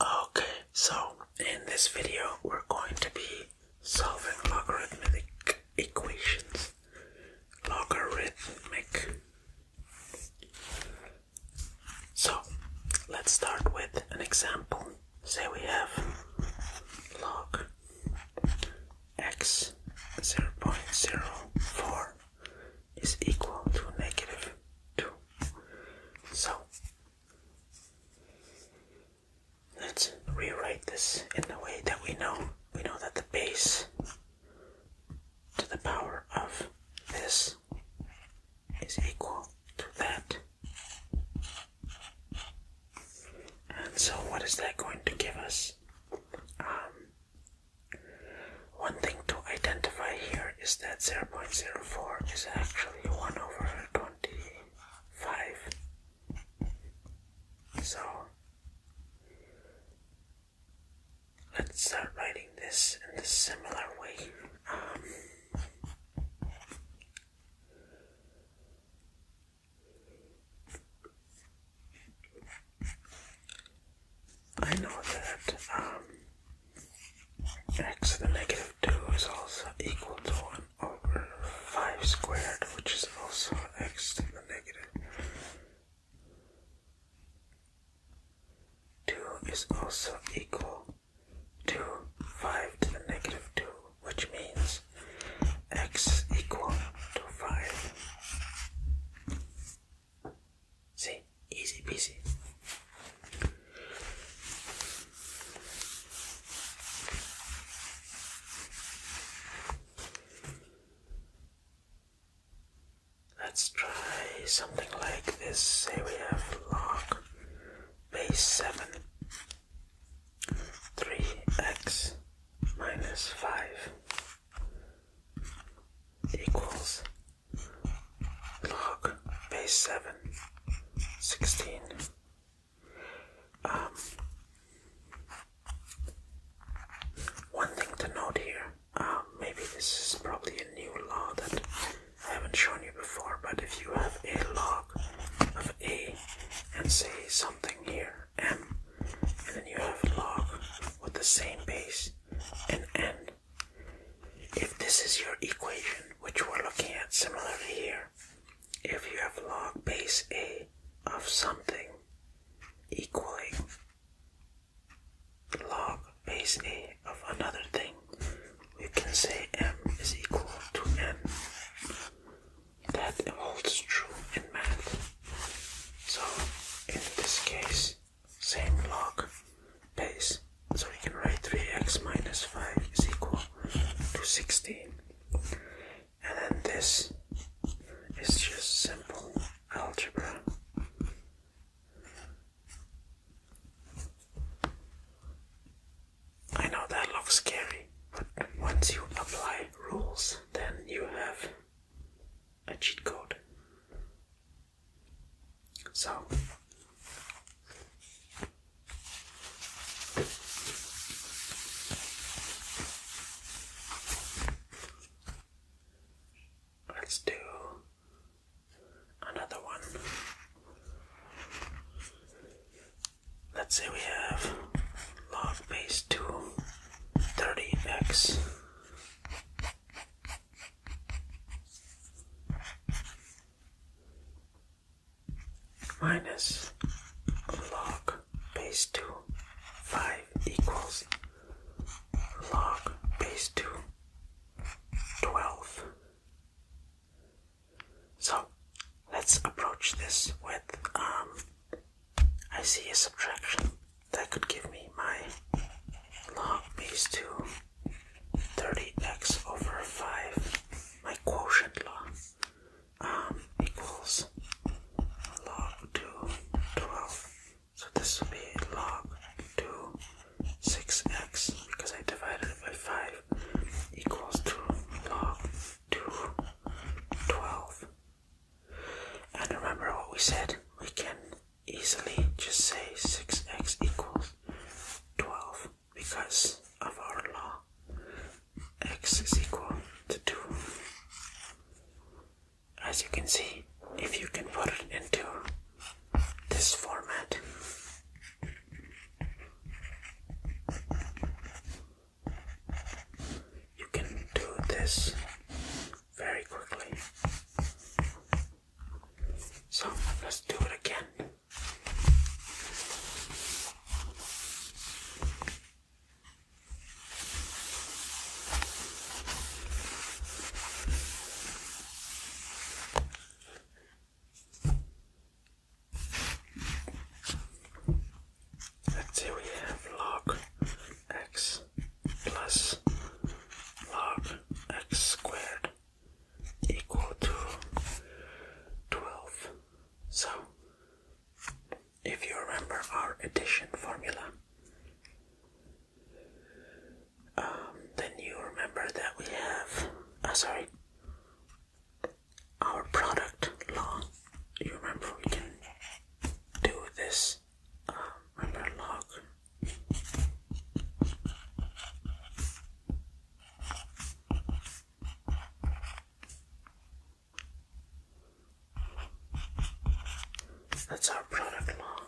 Okay, so in this video we're going to be solving logarithmic equations. Logarithmic. So let's start with an example. Say we have log x 0.04 is equal to negative 2 so let's rewrite this in a way that we know we know that the base to the power of this is equal to that. And so what is that going to give us? Um, one thing to identify here is that 0.04 is actually 1 over 25. So let's start writing this in a similar way. Um, I know that um, x to the negative 2 is also equal to 1 over 5 squared, which is also x to the negative 2 is also equal to 5 to the negative 2, which means x is equal to 5. See, easy peasy. Let's try something like this. Say we have log base 7 3x minus 5 equals Log base 7, 16. Um, one thing to note here, um, maybe this is probably a new law that I haven't shown you before, but if you have a log of A and say something here, M, and then you have log with the same base and N, if this is your equation, which we're looking at similarly here, if you have log base a of something equaling log base a of another thing, we can say m is equal to n. That holds true in math. So in this case, same log base. So we can write 3x minus 5 is equal to 16. And then this is just simple algebra. I know that looks scary, but once you apply rules, then you have a cheat code. So, let's do another one. Let's say we have log base 2 30x minus log base 2 5 equals log base 2 12. So let's approach this with um, I see a subtraction that could give me my log base 2 30x over 5 my quotient log um, equals log 2 12 so this would be log 2 6x because I divided it by 5 equals 2 log 2 12 and remember what we said we can easily just say 6x equals 12 because of our law. x is equal to 2. As you can see, if you can put it into this format, you can do this very quickly. So let's do it again. Let's see, we have log x plus log x squared equal to 12. So, if you remember our addition formula, um, then you remember that we have, uh, sorry, our product law. You remember we can do this um, is log. That's our product log.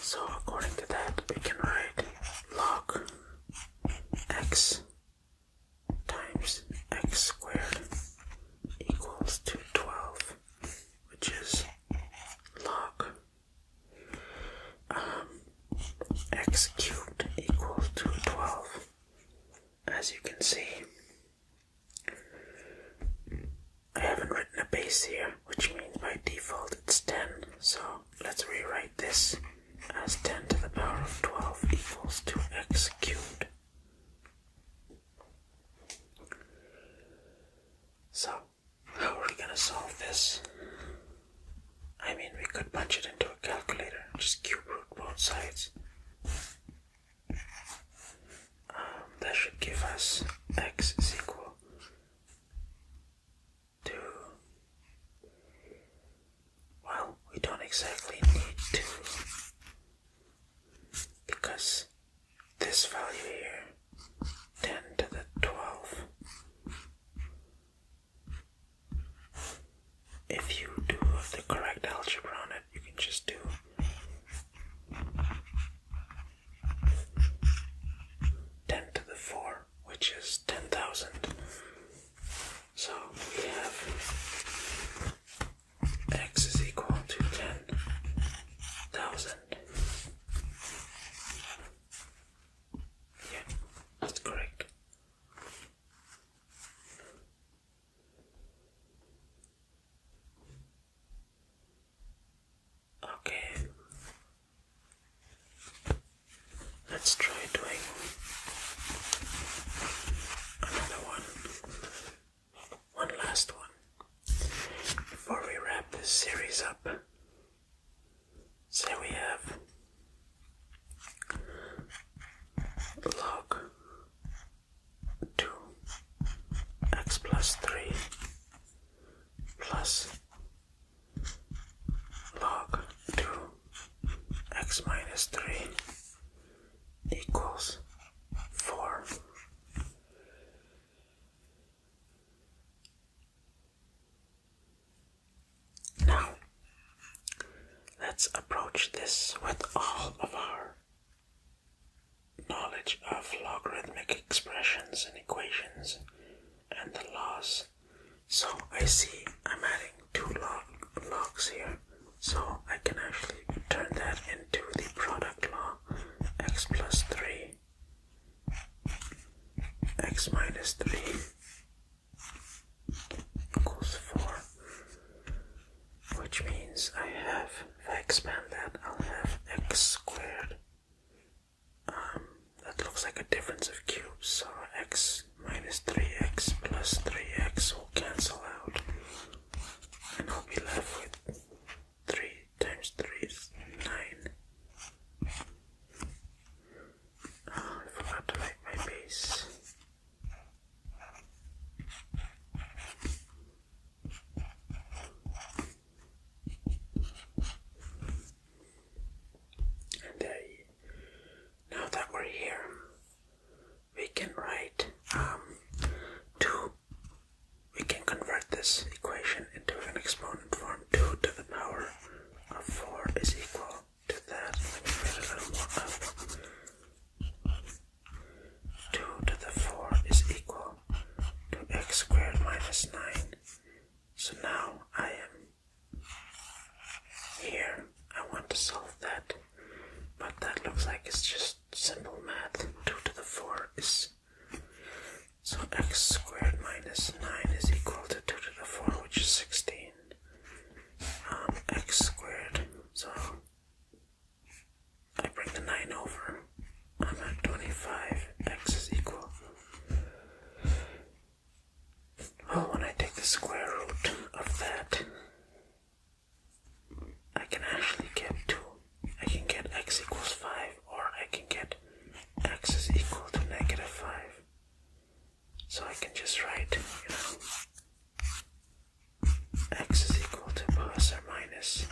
So according to that, we can write log x times x squared equals to 12, which is log um, x cubed equals to 12. As you can see, I haven't written a base here, which means by default it's 10. So let's rewrite this as 10 to the power of 12 equals to x cubed. So, how are we going to solve this? I mean, we could punch it into a calculator, just cube root both sides. Um, that should give us x is equal to well, we don't exactly need to because this value here, 10 to the 12, if you do the correct algebra on it, you can just do Ten to the four, which is ten thousand so we have x is equal to 10,000. Yeah, that's correct. Okay. Let's try doing another one. One last one. Before we wrap this series up, say we have log 2x plus 3 plus log 2 x minus 3 equals 4. Now, let's approach this with all of our knowledge of logarithmic expressions and equations and the laws so I see I'm adding two log logs here. So I can actually turn that into the product law x plus 3 x minus 3 equals 4 which means I have, if I expand that, I'll have x squared um, that looks like a difference of cubes, so x minus 3x plus 3x will cancel out and I'll be left with 3 times 3 is 9 oh, I forgot to write my base and I now that we're here, we can write um, 2, we can convert this equation into an exponent form. 2 to the power of 4 is equal to that. Let me write a little more up. 2 to the 4 is equal to x squared minus 9. So now I am here, I want to solve that, but that looks like it's just simple math. 2 to the 4 is. So x squared minus 9 is equal to 2 to the 4, which is 16. Um, x squared, so I bring the 9 over. I'm at 25. x is equal well, when I take the square root of that, I can actually get 2. I can get x equals 5, or I can get x is equal to negative 5. So I can just write, x is equal to plus or minus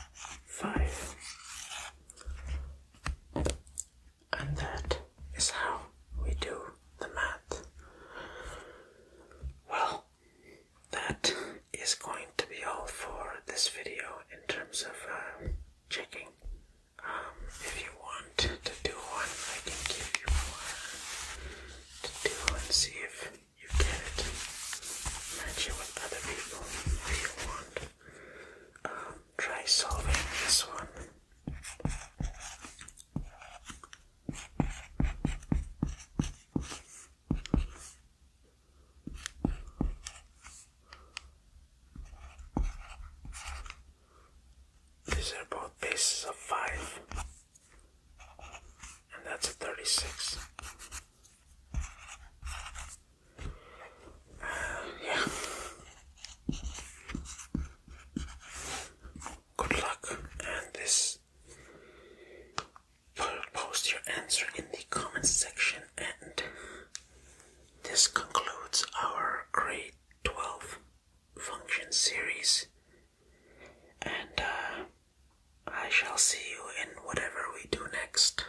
5. And that is how we do the math. Well, that is going to be all for this video in terms of um, checking. Um, if you want to do one, I can give you one to do and see if you get it. Match it with other people if you want. Um, try solving this one. These are both bases of five, and that's a 36. Uh, yeah. Good luck, and this. Post your answer in the comments section, and this concludes our grade 12 function series. And uh, I shall see you in whatever we do next.